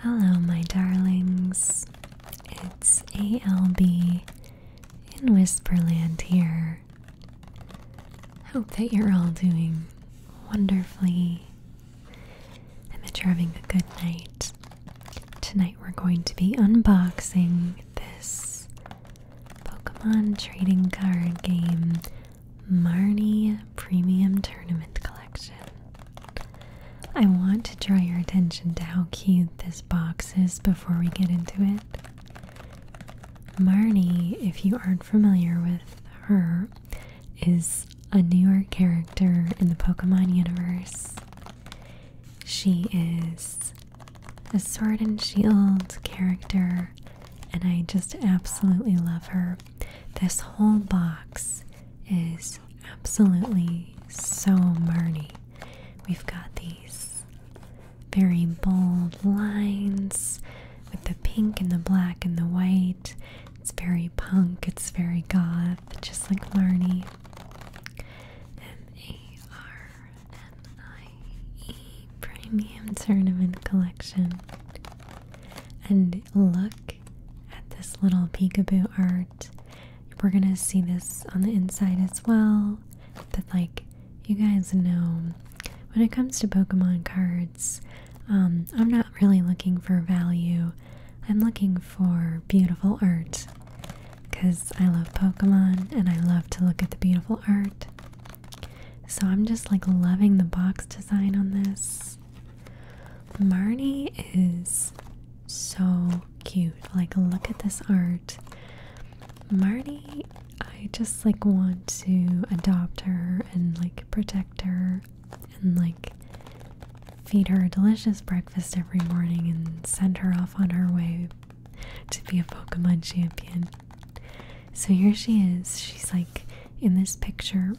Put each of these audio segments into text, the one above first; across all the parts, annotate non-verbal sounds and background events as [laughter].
Hello, my darlings. It's ALB in Whisperland here. Hope that you're all doing wonderfully and that you're having a good night. Tonight, we're going to be unboxing this Pokemon trading card game Marnie Premium Tournament Collection. I want to draw your attention to how cute this box is before we get into it. Marnie, if you aren't familiar with her, is a New York character in the Pokemon universe. She is a sword and shield character, and I just absolutely love her. This whole box is absolutely so Marnie. We've got these very bold lines with the pink and the black and the white. It's very punk, it's very goth, just like Marnie. M A R N I E Premium Tournament Collection. And look at this little peekaboo art. We're gonna see this on the inside as well, but like you guys know, when it comes to Pokemon cards, um, I'm not really looking for value. I'm looking for beautiful art because I love Pokemon and I love to look at the beautiful art. So I'm just like loving the box design on this. Marnie is so cute. Like, look at this art. Marnie, I just like want to adopt her and like protect her and like feed her a delicious breakfast every morning and send her off on her way to be a Pokemon champion. So here she is. She's like in this picture,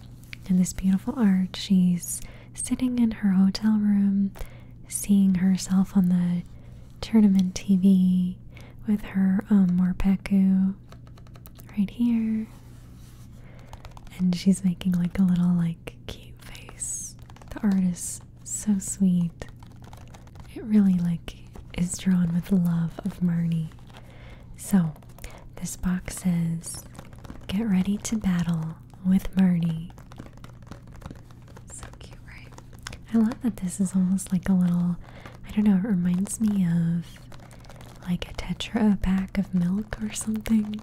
in this beautiful art. She's sitting in her hotel room, seeing herself on the tournament TV with her um, Morpeku right here. And she's making like a little like cute face. The art is so sweet. It really like is drawn with love of Marnie. So this box says, Get ready to battle with Marnie." So cute, I love that this is almost like a little, I don't know, it reminds me of like a tetra pack of milk or something.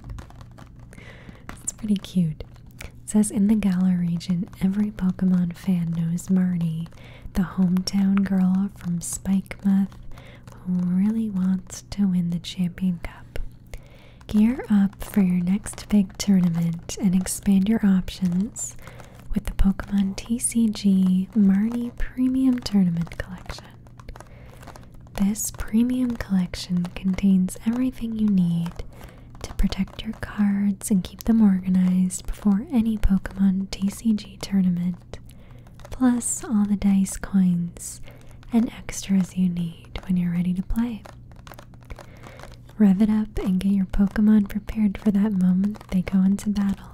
It's pretty cute. It says, In the Galar region, every Pokemon fan knows Marnie, the hometown girl from Spikemouth, who really wants to win the Champion Cup. Gear up for your next big tournament and expand your options with the Pokemon TCG Marnie Premium Tournament Collection. This premium collection contains everything you need to protect your cards and keep them organized before any Pokemon TCG tournament plus all the dice coins and extras you need when you're ready to play. Rev it up and get your Pokemon prepared for that moment they go into battle.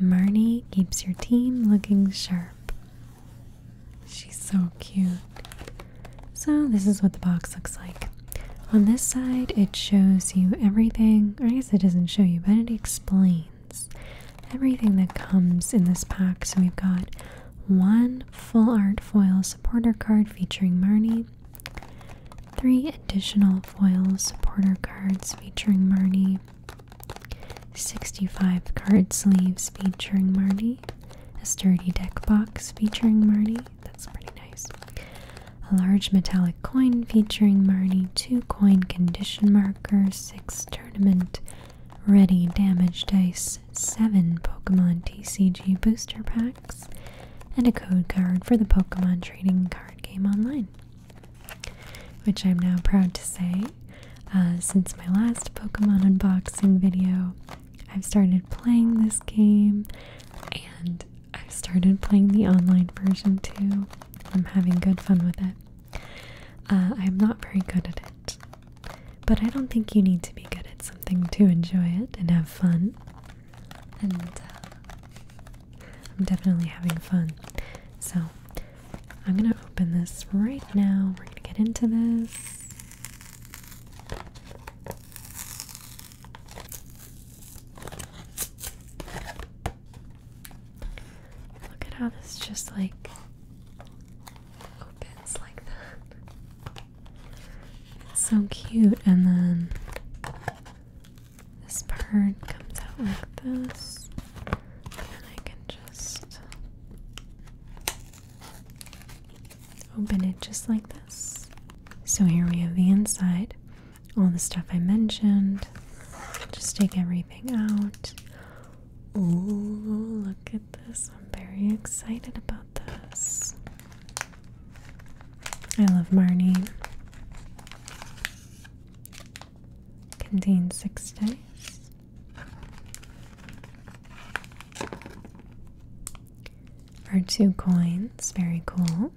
Marnie keeps your team looking sharp. She's so cute. So, this is what the box looks like. On this side, it shows you everything, or I guess it doesn't show you, but it explains everything that comes in this pack. So we've got one full art foil supporter card featuring Marnie, three additional foil supporter cards featuring Marnie, 65 card sleeves featuring Marnie, a sturdy deck box featuring Marnie. That's pretty nice. A large metallic coin featuring Marnie, two coin condition markers, six tournament Ready Damage Dice 7 Pokemon TCG Booster Packs, and a code card for the Pokemon Trading Card Game Online. Which I'm now proud to say, uh, since my last Pokemon unboxing video, I've started playing this game and I've started playing the online version too. I'm having good fun with it. Uh, I'm not very good at it. But I don't think you need to be good at something to enjoy it and have fun. And uh, I'm definitely having fun. So I'm gonna open this right now. We're gonna get into this. Look at how this just like opens like that. It's so cute, and then this part comes out like this, and I can just open it just like this. So here we have the inside, all the stuff I mentioned. Just take everything out. Oh, look this. I'm very excited about this. I love Marnie. Contains six dice. Are two coins, very cool.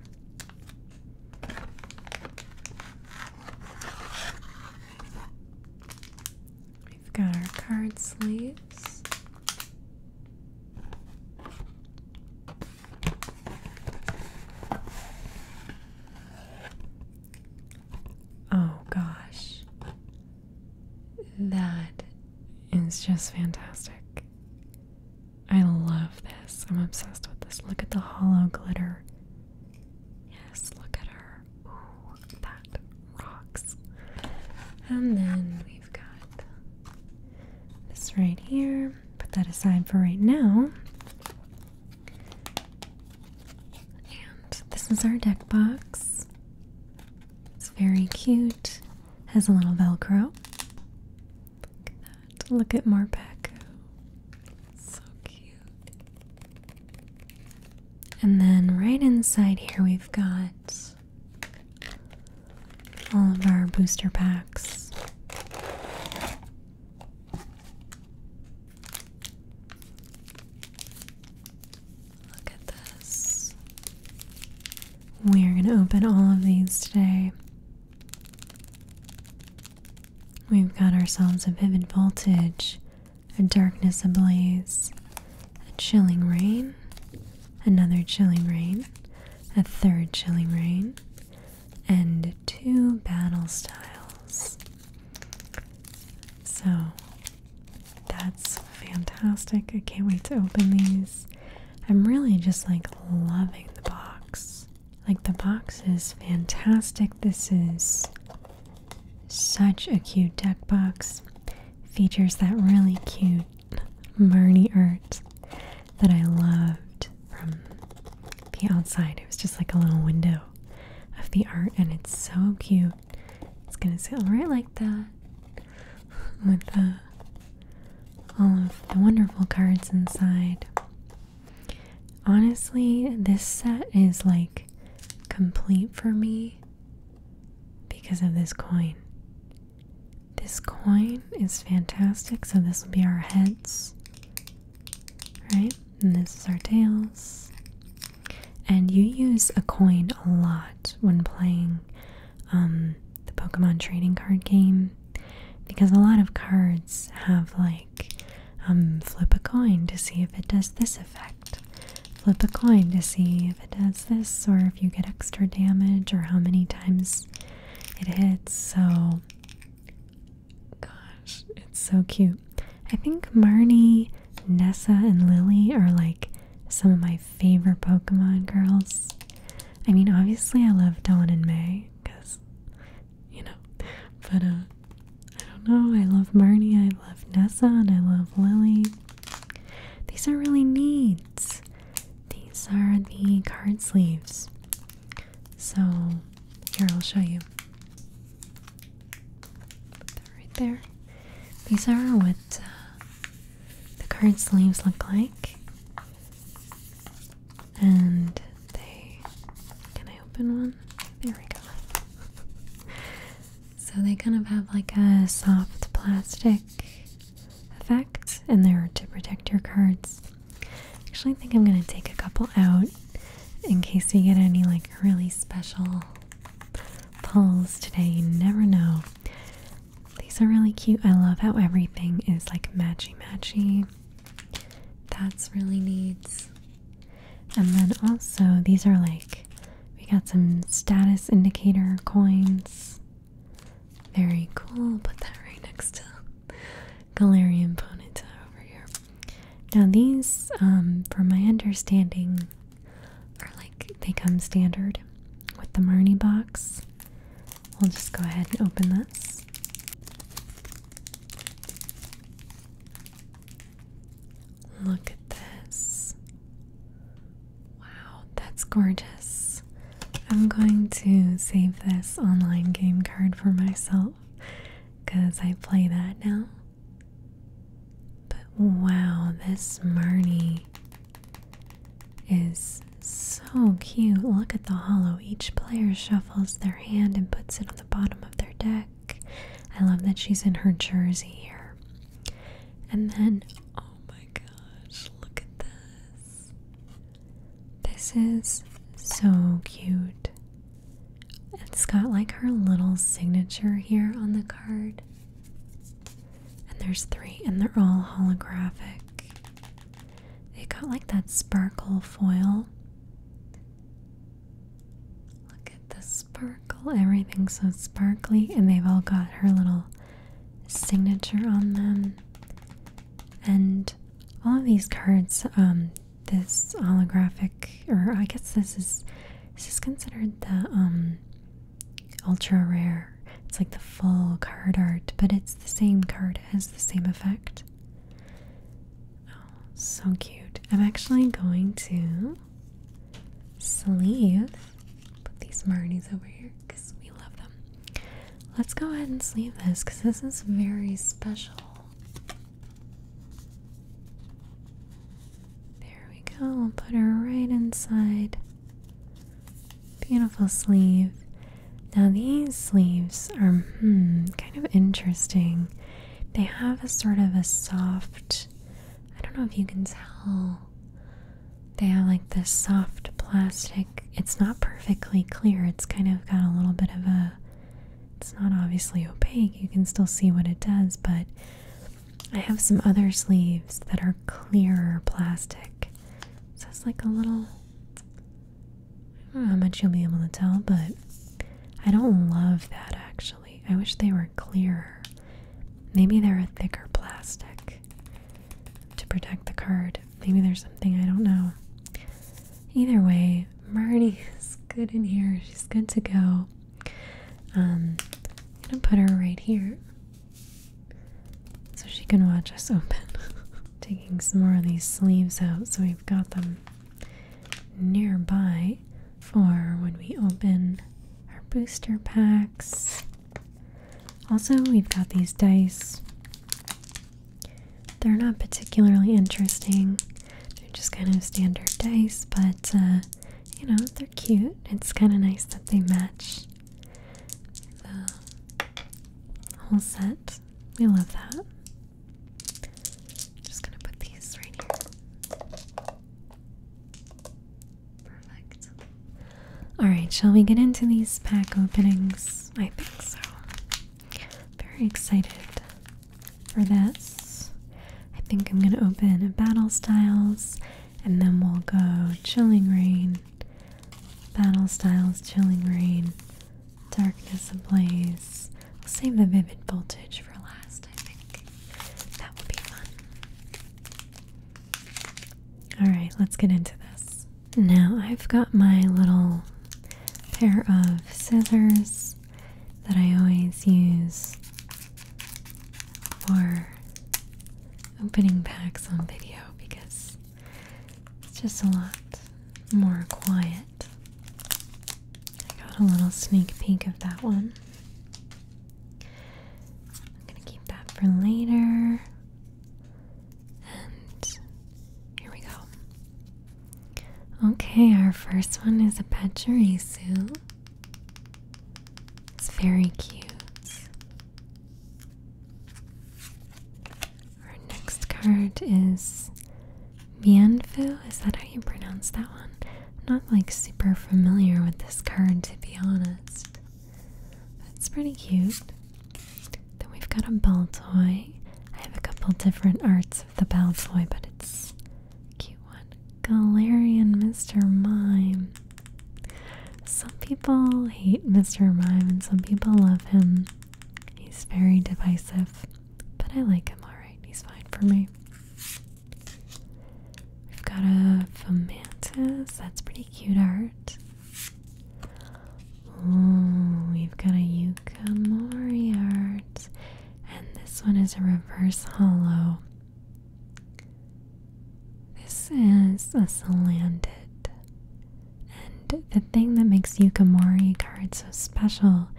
We've got our card sleeves. Oh gosh. That is just fantastic. I love this. I'm obsessed with this. Look at the hollow glitter Yes, look at her. Ooh, that rocks. And then we've got this right here. Put that aside for right now. And this is our deck box. It's very cute. Has a little Velcro. Look at that. Look at Marpeco. So cute. And then right inside here, we've got all of our booster packs. Look at this. We are going to open all of these today. We've got ourselves a Vivid Voltage, a darkness ablaze, a chilling rain, another chilling rain, a third chilling rain, and two battle styles. So that's fantastic. I can't wait to open these. I'm really just like loving the box. Like the box is fantastic. This is such a cute deck box. Features that really cute Marnie art that I loved from the outside. It was just like a little window of the art, and it's so cute. It's gonna sit right like that with all of the wonderful cards inside. Honestly, this set is like complete for me because of this coin. This coin is fantastic, so this will be our heads, right? And this is our tails. And you use a coin a lot when playing um, the Pokemon trading card game because a lot of cards have like um, flip a coin to see if it does this effect. Flip a coin to see if it does this or if you get extra damage or how many times it hits. So, gosh, it's so cute. I think Marnie, Nessa, and Lily are like some of my favorite Pokemon girls. I mean, obviously, I love Dawn and May because, you know, [laughs] but uh, I don't know. I love Marnie, I love Nessa, and I love Lily. These are really neat. These are the card sleeves. So, here I'll show you. Put that right there. These are what uh, the card sleeves look like. And they. Can I open one? There we go. [laughs] So they kind of have like a soft plastic effect, and they're to protect your cards. Actually, I think I'm gonna take a couple out in case we get any like really special pulls today. You never know. These are really cute. I love how everything is like matchy matchy. That's really neat. And then also, these are like, we got some status indicator coins. Very cool. Put that right next to [laughs] Galarian Ponita over here. Now, these, um, from my understanding, are like they come standard with the Marnie box. We'll just go ahead and open this. Look at this. Wow, that's gorgeous. I'm going to save this online game card for myself because I play that now. But wow, this Marnie is so cute. Look at the hollow. Each player shuffles their hand and puts it on the bottom of their deck. I love that she's in her jersey here. And then, oh my gosh, look at this. This is so cute. It's got like her little signature here on the card. And there's three, and they're all holographic. They got like that sparkle foil. Look at this sparkle. Everything's so sparkly, and they've all got her little signature on them. And all of these cards, um, this holographic, or I guess this is this is considered the um, ultra rare. It's like the full card art, but it's the same card has the same effect. Oh, so cute. I'm actually going to sleeve. Put these Marnies over here because we love them. Let's go ahead and sleeve this because this is very special. There we go. we put her right inside. Beautiful sleeve. Now, these sleeves are hmm, kind of interesting. They have a sort of a soft I don't know if you can tell. They are like this soft plastic. It's not perfectly clear. It's kind of got a little bit of a. It's not obviously opaque. You can still see what it does, but I have some other sleeves that are clearer plastic. So it's like a little. I don't know how much you'll be able to tell, but I don't love that actually. I wish they were clearer. Maybe they're a thicker plastic to protect the card. Maybe there's something I don't know. Either way, Marnie is good in here. She's good to go. Um, I'm gonna put her right here so she can watch us open. [laughs] Taking some more of these sleeves out so we've got them nearby for when we open our booster packs. Also, we've got these dice. They're not particularly interesting. They're just kind of standard dice, but uh, you know, they're cute. It's kind of nice that they match the whole set. We love that. just gonna put these right here. Perfect. Alright, shall we get into these pack openings? I think so. Very excited for this. I think I'm going to open Battle Styles and then we'll go Chilling Rain, Battle Styles, Chilling Rain, Darkness Ablaze. I'll save the Vivid Voltage for last. All right, let's get into this. Now, I've got my little pair of scissors that I always use for opening packs on video because it's just a lot more quiet I got a little sneak peek of that one. I'm gonna keep that for later. And here we go. Okay, our first one is a Pachirisu. It's very cute. Our next card is Mianfu? Is that how you pronounce that one? not like super familiar with this card to be honest. it's pretty cute. Then we've got a bell toy. I have a couple different arts of the bell toy, but it's a cute one. Galarian Mr. Mime. Some people hate Mr. Mime and some people love him. He's very divisive, but I like him alright. He's fine for me. We've got a fomantis. That's pretty cute art. we've got a Yukamori art. And this one is a reverse hollow. This is a slanted. And the thing that makes Yukamori cards so special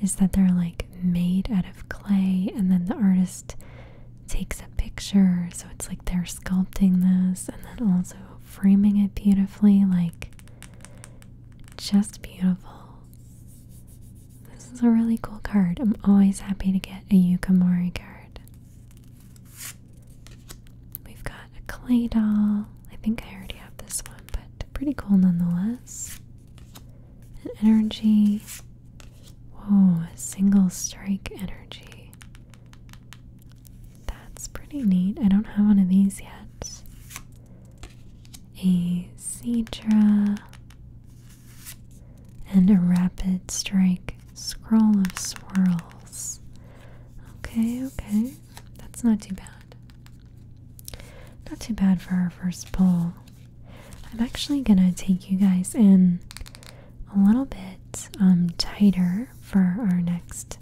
is that they're like made out of clay and then the artist takes a picture so it's like they're sculpting this and then also framing it beautifully like just beautiful this is a really cool card i'm always happy to get a yukamori card we've got a clay doll i think i already have this one but pretty cool nonetheless an energy. Whoa, a single strike energy. That's pretty neat. I don't have one of these yet. A Cedra. And a rapid strike scroll of swirls. Okay, okay. That's not too bad. Not too bad for our first pull. I'm actually gonna take you guys in a little bit um, tighter for our next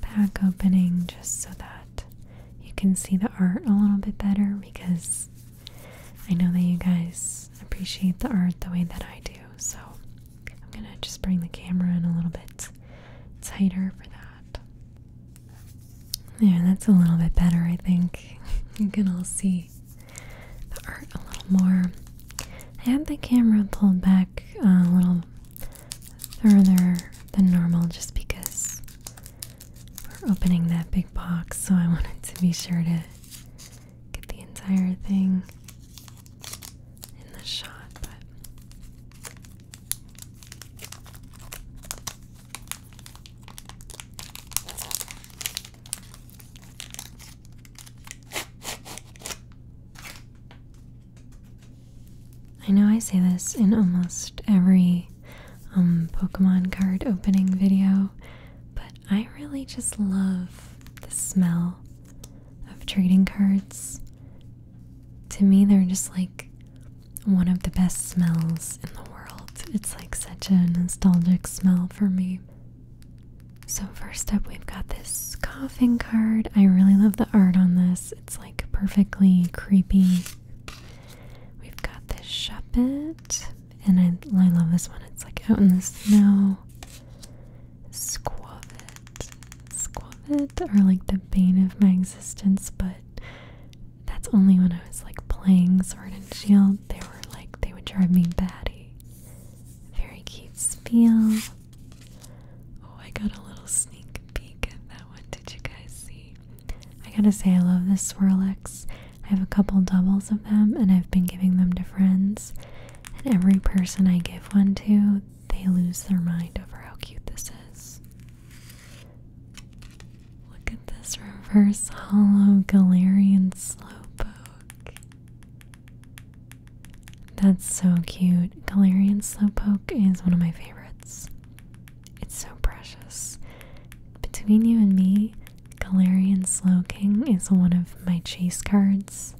pack opening, just so that you can see the art a little bit better because I know that you guys appreciate the art the way that I do. So I'm gonna just bring the camera in a little bit tighter for that. There, that's a little bit better, I think. [laughs] you can all see the art a little more. and the camera pulled back a little further than normal just because we're opening that big box, so I [laughs] wanted to be sure to get the entire thing in the shot. I know I say this in almost every um, Pokemon card opening video, but I really just love the smell of trading cards. To me, they're just like one of the best smells in the world. It's like such a nostalgic smell for me. So, first up, we've got this coughing card. I really love the art on this, it's like perfectly creepy. We've got this Shuppet, and I, love this one. It's like out in the snow. Squavet. Squavet are like the bane of my existence, but that's only when I was like playing Sword and Shield. They were like they would drive me batty. Very cute spiel. Oh, I got a little sneak peek at that one. Did you guys see? I gotta say, I love this Swirlix. I have a couple doubles of them, and I've been giving them to friends. And every person I give one to, they lose their mind over how cute this is. Look at this reverse hollow Galarian Slowpoke. That's so cute. Galarian Slowpoke is one of my favorites. It's so precious. Between you and me, Galarian Slowking is one of my chase cards.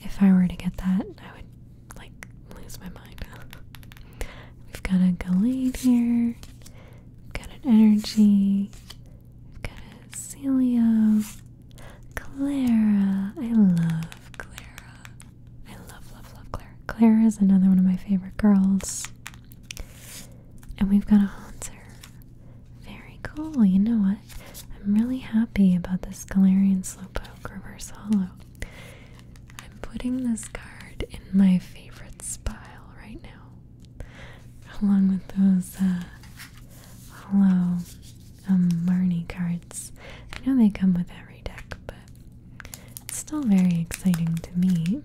If I were to get that, I would like lose my mind. [laughs] We've got a Gallade here. We've got an Energy. We've got a Celio. Clara. I love Clara. I love, love, love Clara. Clara is another one of my favorite girls. And we've got a Haunter. Very cool. You know what? I'm really happy about this Galarian Slowpoke Reverse Hollow. I'm putting this card in my favorite spile right now, along with those uh, hello, um, Marnie cards. I know they come with every deck, but it's still very exciting to me.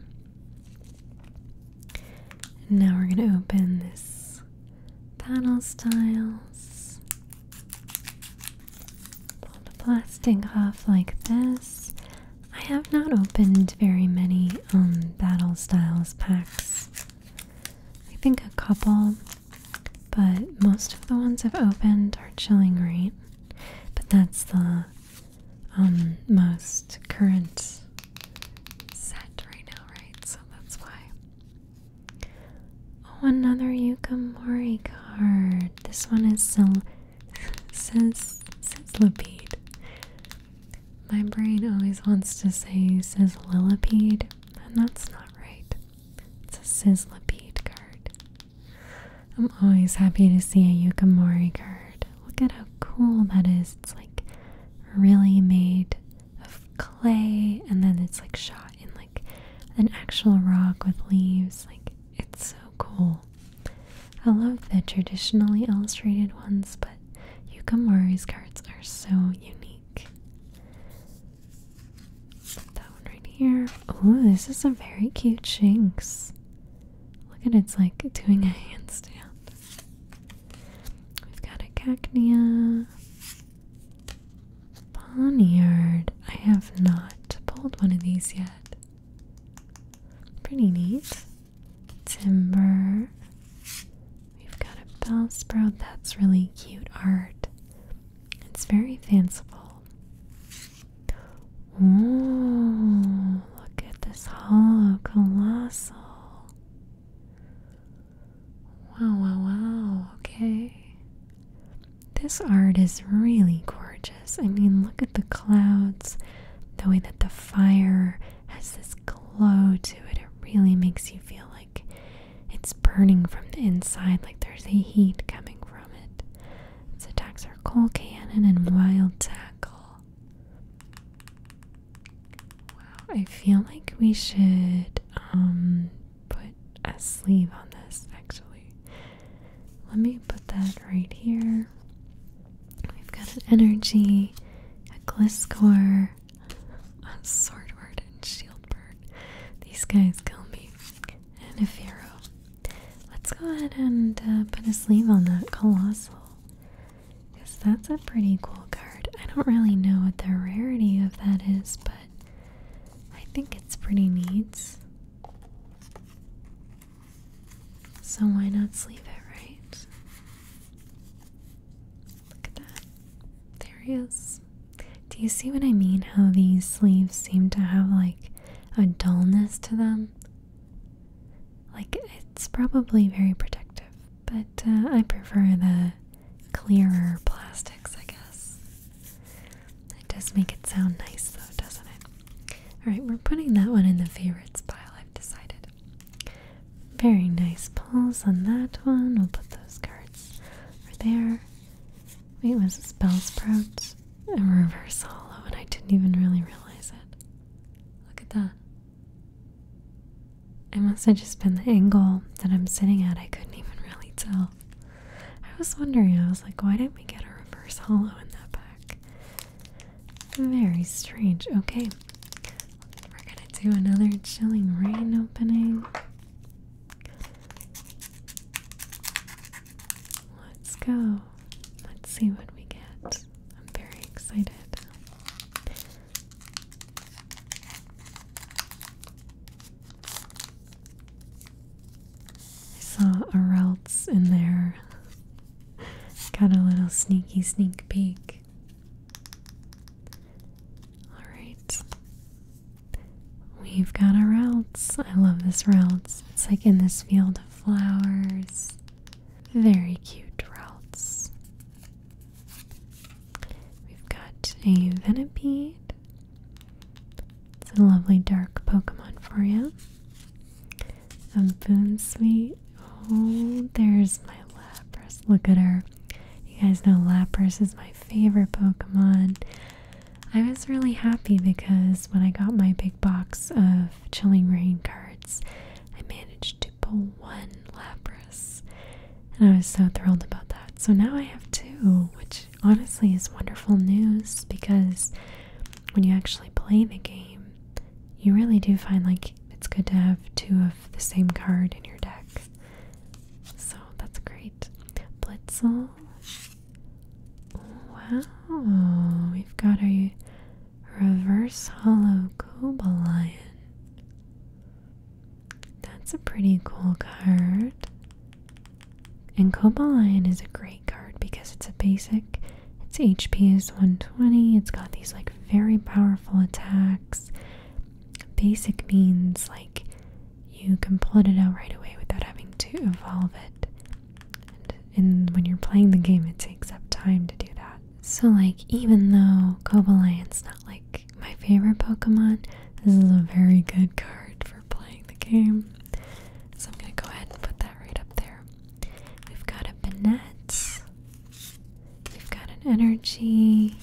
now we're going to open this panel styles. Pull the plastic off like this. I have not opened very many um, Battle Styles packs. I think a couple, but most of the ones I've opened are Chilling Rate. But that's the um, most current set right now, right? So that's why. Oh, another Yukamori card. This one is Sil says sizzlipede. My brain always wants to say sizzlilipede, and that's not right. It's a sizzlipede card. I'm always happy to see a Yukimori card. Look at how cool that is. It's like really made of clay, and then it's like shot in like an actual rock with leaves. Like it's so cool. I love the traditionally illustrated ones, but Yukamori's cards are so unique. that one right here. Oh, this is a very cute Shinx. Look at it, it's like doing a handstand. We've got a Cacnea. Bonnyard. I have not pulled one of these yet. Pretty neat. Timber. We've got a bell sprout. That's really cute art. It's very fanciful. Oh, look at this hollow colossal. Wow, wow, wow. Okay. This art is really gorgeous. I mean, look at the clouds, the way that the fire has this glow to it. It really makes you feel like it's burning from the inside, like there's a heat coming from it. Its attacks are coal cannon and wild tackle. Wow, I feel like we should um, put a sleeve on this actually. Let me put that right here. We've got an energy, a Gliscor, a Swordward, and Shieldbird. These guys kill me. And a Pharaoh. Let's go ahead and uh, put a sleeve on that Colossal. Because that's a pretty cool card. I don't really know what the rarity of that is, but I think it's pretty neat. So why not sleeve it, right? Look at that. There he is. Do you see what I mean? How these sleeves seem to have like a dullness to them? Like it's probably very protective, but uh, I prefer the clearer plastics, I guess. It does make it sound nice though, doesn't it? Alright, we're putting that one in the favorites pile, I've decided. Very nice pulls on that one. We'll put those cards over there. Wait, was it Spell Sprout? A reverse hollow, and I didn't even really realize it. Look at that. It must have just been the angle that I'm sitting at. I couldn't even really tell. I was wondering, I was like, why didn't we get a reverse hollow [laughs] in that pack? Very strange. Okay, we're gonna do another chilling rain opening. Let's go. Let's see what we get. I'm very excited. I saw a Routes in there. Got a little sneaky sneak peek. Alright. We've got a Routes. I love this Routes. It's like in this field of flowers. Very cute Routes. We've got a Venipede. It's a lovely dark Pokemon for you and sweet! Oh, there's my Lapras. Look at her. You guys know Lapras is my favorite Pokemon. I was really happy because when I got my big box of Chilling Rain cards, I managed to pull one Lapras. And I was so thrilled about that. So now I have two, which honestly is wonderful news because when you actually play the game, you really do find like it's good to have two of the same card in your deck. So that's great. Blitzel. Wow, we've got a reverse hollow Cobalion. That's a pretty cool card. And Cobalion is a great card because it's a basic. Its HP is 120. It's got these like very powerful attacks. Basic means like you can plot it out right away without having to evolve it. and when you're playing the game, it takes up time to do that. So like even though Cobalion's not like my favorite Pokemon, this is a very good card for playing the game. So I'm gonna go ahead and put that right up there. We've got a Banette. We've got an energy.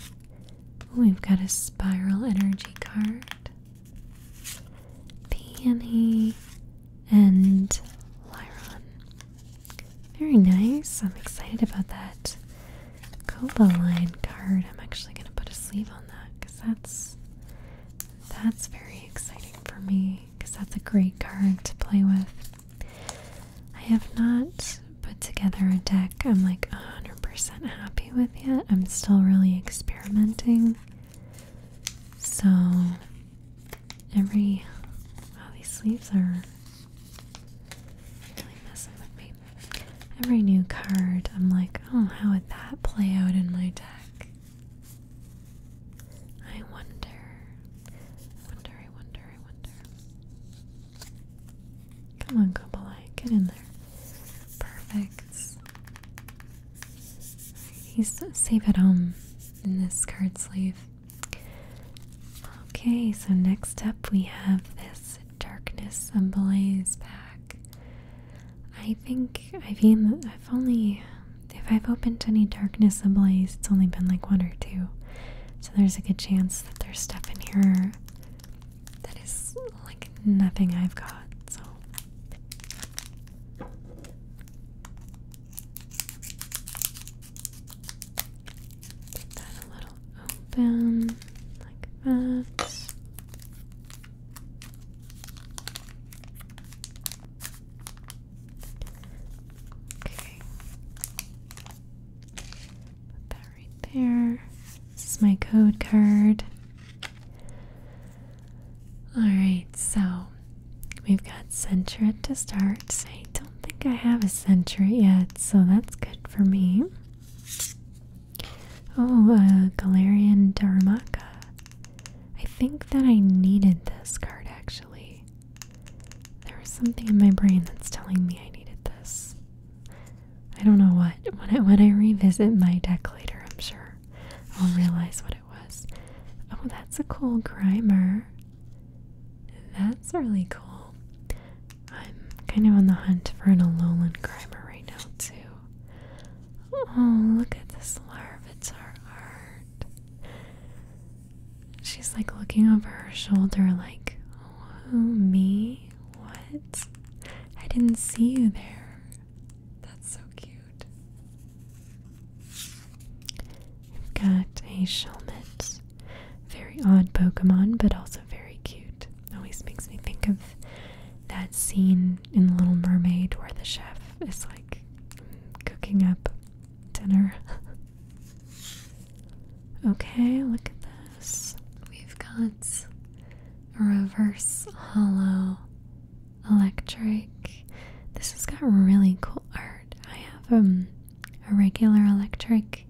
Ooh, we've got a spiral energy card. Peony and Lyron. Very nice. I'm excited about that Cobaline card. I'm actually gonna put a sleeve on that because that's that's very exciting for me because that's a great card to play with. I have not put together a deck I'm like 100% happy with yet. I'm still really experimenting. So, every. Wow, these sleeves are really messing with me. Every new card, I'm like, oh, how would that play out in my deck? I wonder, wonder, I wonder, I wonder. Come on, Gobalai, get in there. Perfect. He's safe at home in this card sleeve. Okay, so next up we have this Darkness and Blaze pack. I I think I've only if I've opened any darkness ablaze, it's only been like one or two. So there's a good chance that there's stuff in here that is like nothing I've got. So get that a little open like that. Okay. Put that right there. This is my code card. Alright, so we've got Centra to start. I don't think I have a Centra yet, so that's good for me. Oh, uh, Galarian Darumaka. I think that I needed this card actually. There was something in my brain that's telling me I needed this. I don't know what. When I, revisit my deck later, I'm sure I'll realize what it was. Oh, that's a cool Grimer. That's really cool. I'm kind of on the hunt for an Alolan Grimer right now, too. Oh, look at this Larvitar art. She's like looking over her shoulder, like, oh, me? What? I didn't see you there. That's so cute. We've got a Shelmet. Very odd Pokemon, but also very cute. Always makes me think of that scene in Little Mermaid where the chef is like cooking up dinner. [laughs] okay, look at this. We've got reverse hollow electric. This has got really cool art. I have um, a regular electric,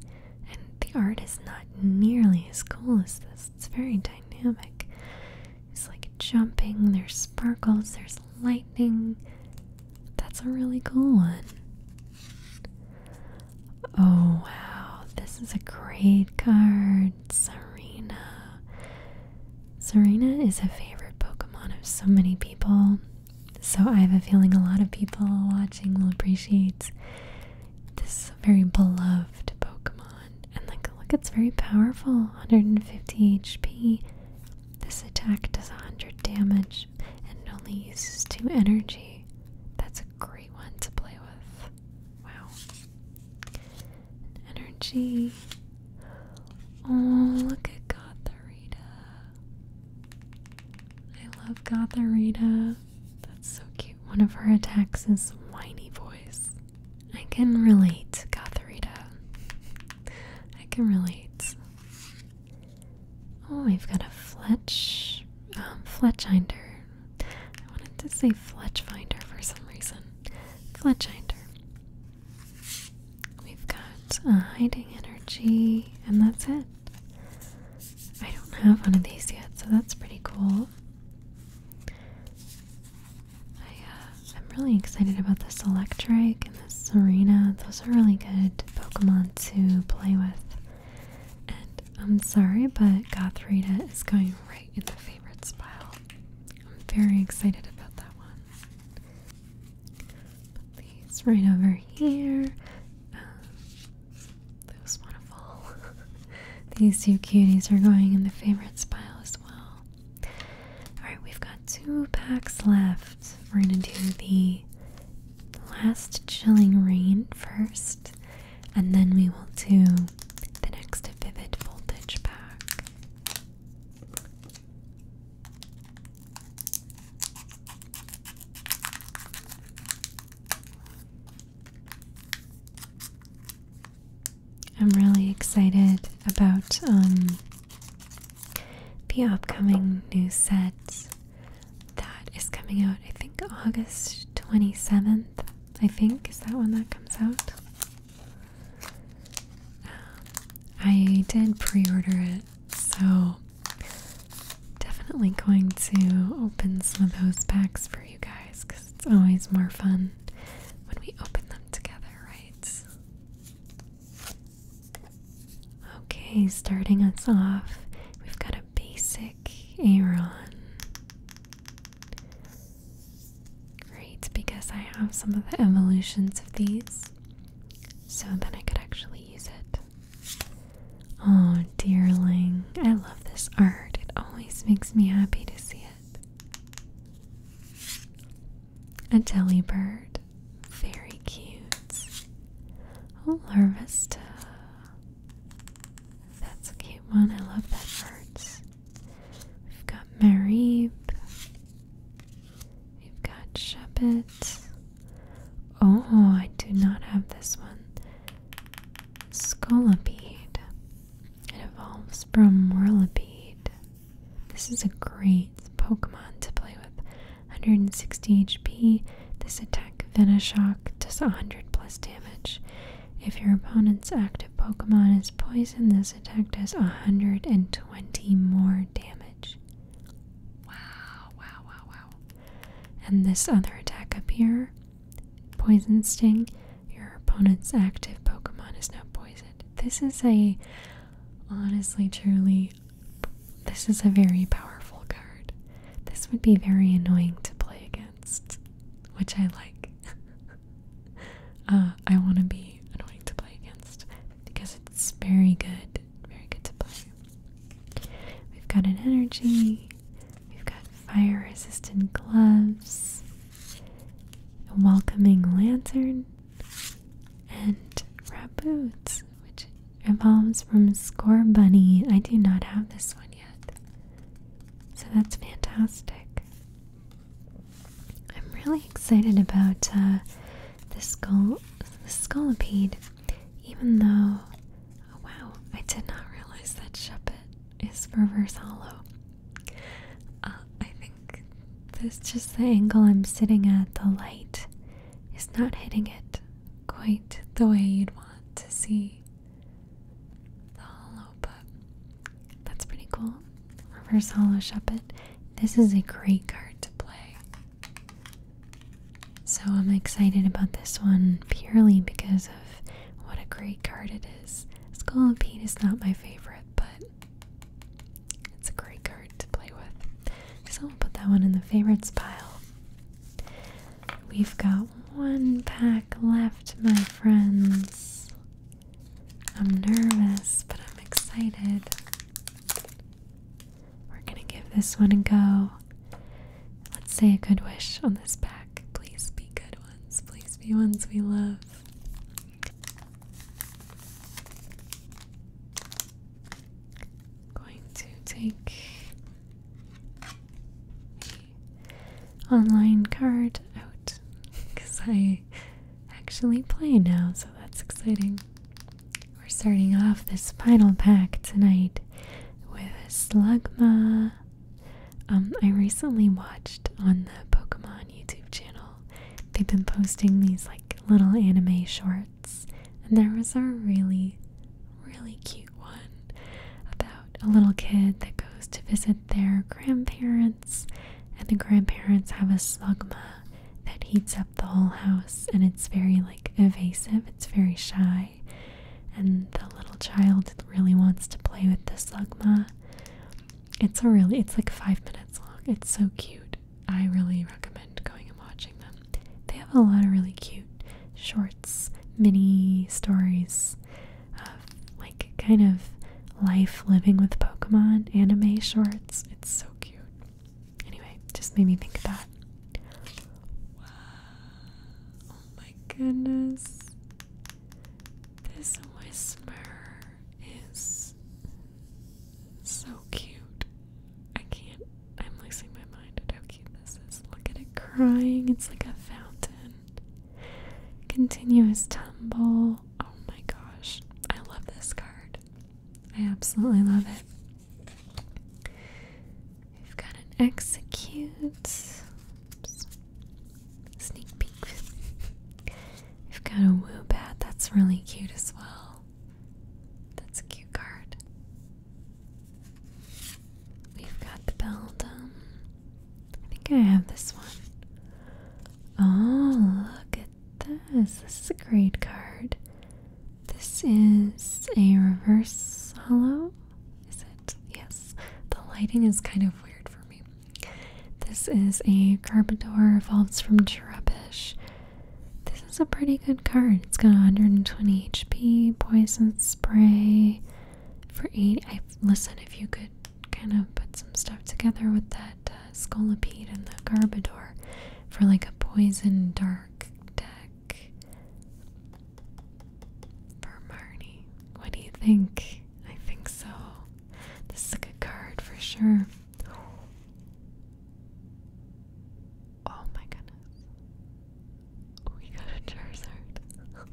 and the art is not nearly as cool as this. It's very dynamic. It's like jumping, there's sparkles, there's lightning. That's a really cool one. Oh wow, this is a great card, Serena. Serena is a favorite Pokemon of so many people. So I have a feeling a lot of people watching will appreciate this very beloved Pokemon. And like look, it's very powerful. 150 HP. This attack does 100 damage and only uses 2 energy. That's a great one to play with. Wow. Energy. Oh, look at Gotharita. I love Gotharita. That's so cute. One of her attacks is whiny voice. I can relate, Gotharita. I can relate. Oh, we've got a Fletch, um, Fletchinder. I wanted to say Fletchfinder for some reason. Fletchinder. We've got a hiding energy, and that's it. I don't have one of these yet, so that's pretty cool. I am uh, really excited about this Electric and this Serena. Those are really good Pokemon to play with. And I'm sorry, but Gothrita is going right in the favorites pile. I'm very excited about that one. these right over here. Um, those want to fall. these two cuties are going in the favorites pile as well. Alright, we've got two packs left. We're gonna do the last chilling rain first, and then we will do the next vivid voltage pack. I'm really excited about um, the upcoming new set that is coming out, I think August 27th. I think is that when that comes out. Um, I did pre order it, so definitely going to open some of those packs for you guys because it's always more fun when we open them together, right? Okay, starting us off, we've got a basic Aeron. Great, because I have some of the evolutions of these, so then I could actually use it. Oh, darling, I love this art. It always makes me happy to see it a delibird, very cute. Oh, Larvesta. That's a cute one. I love that bird. We've got Marib. We've got Sheppet. Oh, I do not have this one. Scolipede. It evolves from Whirlipede. This is a great Pokemon to play with. 160 HP. This attack Venoshock does 100 plus damage. If your opponent's active Pokemon is Poison, this attack does 120 more damage. Wow, wow, wow, wow. And this other attack up here, Poison Sting, your opponent's active Pokemon is now poisoned. This is a honestly, truly, this is a very powerful card. This would be very annoying to play against, which I like. [laughs] Uh, I want to be annoying to play against because it's very good, very good to play. We've got an energy, we've got fire resistant gloves, a welcoming lantern and boots, which evolves from Score Bunny. I do not have this one yet. So that's fantastic. I'm really excited about uh, the skull, the scolipede, even though, oh wow, I did not realize that Shuppet is reverse hollow. Uh, I think that's just the angle I'm sitting at. The light is not hitting it quite the way you'd want to see the hollow, but that's pretty cool. Reverse hollow shuppet. This is a great card to play. So I'm excited about this one purely because of what a great card it is. Skull and Pete is not my favorite, but it's a great card to play with. So we'll put that one in the favorites pile. We've got one pack left, my friends. I'm nervous, but I'm excited. We're gonna give this one a go. Let's say a good wish on this pack. Please be good ones. Please be ones we love. Going to take the online card out because I actually play now, so that's exciting. We're starting off this final pack tonight with Slugma. Um, I recently watched on the Pokemon YouTube channel They've been posting these like little anime shorts, and there was a really, really cute one about a little kid that goes to visit their grandparents, and the grandparents have a slugma that heats up the whole house, and it's very like evasive, it's very shy. And the little child really wants to play with the slugma, it's a really it's like five minutes long. It's so cute. I really recommend going and watching them. They have a lot of really cute shorts, mini stories of like kind of life living with Pokemon anime shorts. It's so cute. Anyway, just made me think of that. Wow. Oh my goodness. This whisper is so cute. I can't. I'm losing my mind at how cute this is. Look at it crying. It's like a fountain. Continuous tumble. Oh my gosh. I love this card. I absolutely love it. We've got an execute sneak peek. We've got a woo bat. That's really cute as well. That's a cute card. We've got the Beldum. I think I have this one. Oh, look at this. This is a grade card. This is a reverse hollow. Is it? Yes. The lighting is kind of weird for me. This is a Carpador, evolves from Cherubish. This is a pretty good card. It's got 120 HP, Poison Spray for 8. I, listen, if you could kind of put some stuff together with that uh, Scolipede and the Garbodor for like a Poison Dark deck for Marnie. What do you think? I think so. This is a good card for sure. Oh my goodness. Oh, we got a Charizard.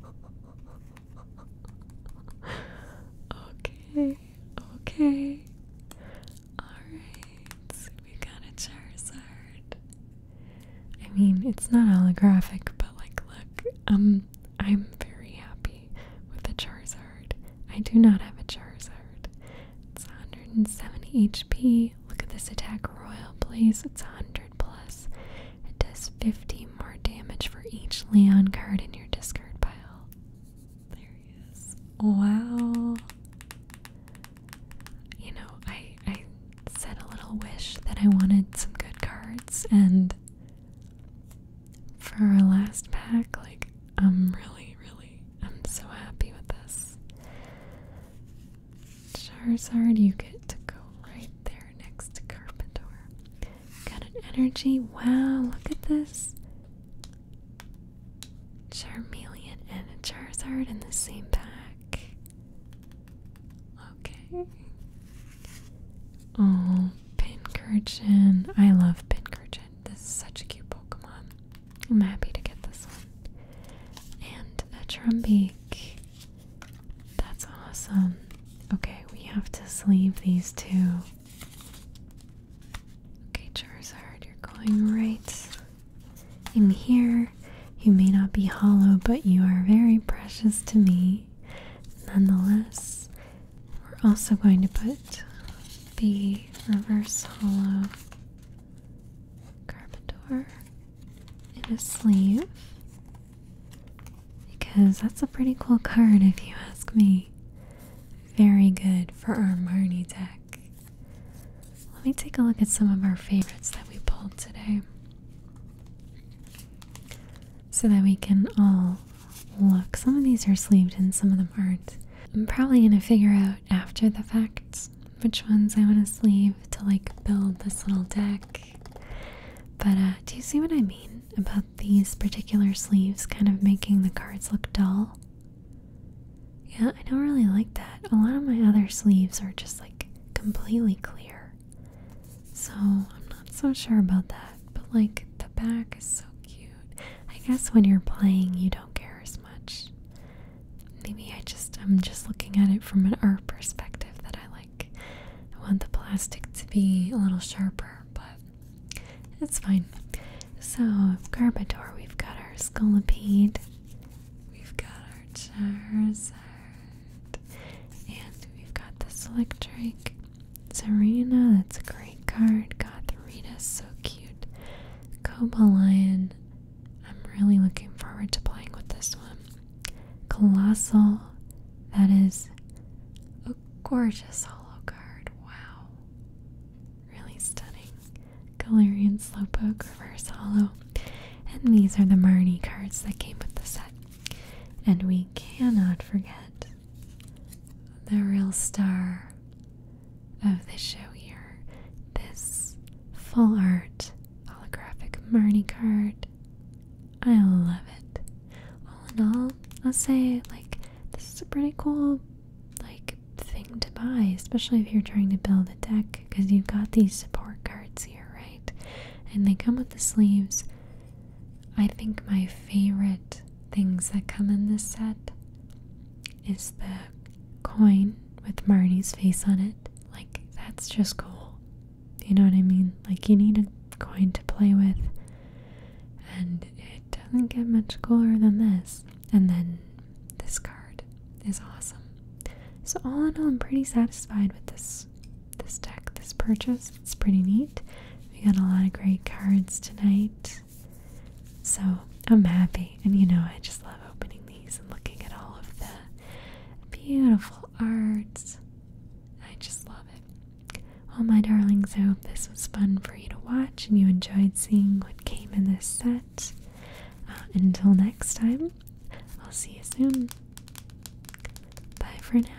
[laughs] okay, okay. Alright, we got a Charizard. I mean, it's not holographic, but like, look, um. I'm very happy with the Charizard. I do not have a Charizard. It's 170 HP. Look at this attack royal blaze. It's 100 plus. It does 50 more damage for each Leon card in your discard pile. There he is. Wow. You know, I I said a little wish that I wanted some good cards and for our last pack, like, I'm really, really, I'm so happy with this. Charizard, you get to go right there next to Carpentor. Got an energy. Wow, look at this. Charmeleon and Charizard in the same pack. Okay. Oh, Pincurchin. I love Pincurchin. This is such a cute Pokemon. I'm happy to get this one. And a Trumbeak. That's awesome. Okay, we have to sleeve these two. Okay, Charizard, you're going right in here. You may not be hollow, but you are very precious to me nonetheless. We're also going to put the reverse hollow Carpador in a sleeve because that's a pretty cool card if you ask me. Very good for our Marnie deck. Let me take a look at some of our favorites that we pulled today so that we can all look. Some of these are sleeved and some of them aren't. I'm probably gonna figure out after the fact which ones I want to sleeve to like build this little deck. But uh, do you see what I mean about these particular sleeves kind of making the cards look dull? Yeah, I don't really like that. A lot of my other sleeves are just like completely clear. So I'm not so sure about that. But like the back is so cute. I guess when you're playing, you don't care as much. Maybe I just I'm just looking at it from an art perspective that I like. I want the plastic to be a little sharper, but it's fine. So Garbodor, we've got our Scolipede, we've got our Charizard, and we've got the Electric. Serena, that's a great card. God, the Rita's so cute. Cobalion, I'm really looking forward to playing with this one. Colossal, that is a gorgeous holo card. Wow. Really stunning. Galarian Slowpoke, Reverse Hollow. And these are the Marnie cards that came with the set. And we cannot forget the real star of the show here. This full art holographic Marnie card. I love it. All in all, I'll say like this is a pretty cool like thing to buy, especially if you're trying to build a deck because you've got these support cards here, right? And they come with the sleeves. I think my favorite things that come in this set is the coin with Marnie's face on it. Like, that's just cool. You know what I mean? Like, you need a coin to play with, and it doesn't get much cooler than this. And then this card is awesome. So all in all, I'm pretty satisfied with this this deck, this purchase. It's pretty neat. We got a lot of great cards tonight. So I'm happy. And you know, I just love opening these and looking at all of the beautiful arts. I just love it. Well, my darlings, I hope this was fun for you to watch and you enjoyed seeing what came in this set. Uh, until next time, I'll see you soon. Bye for now.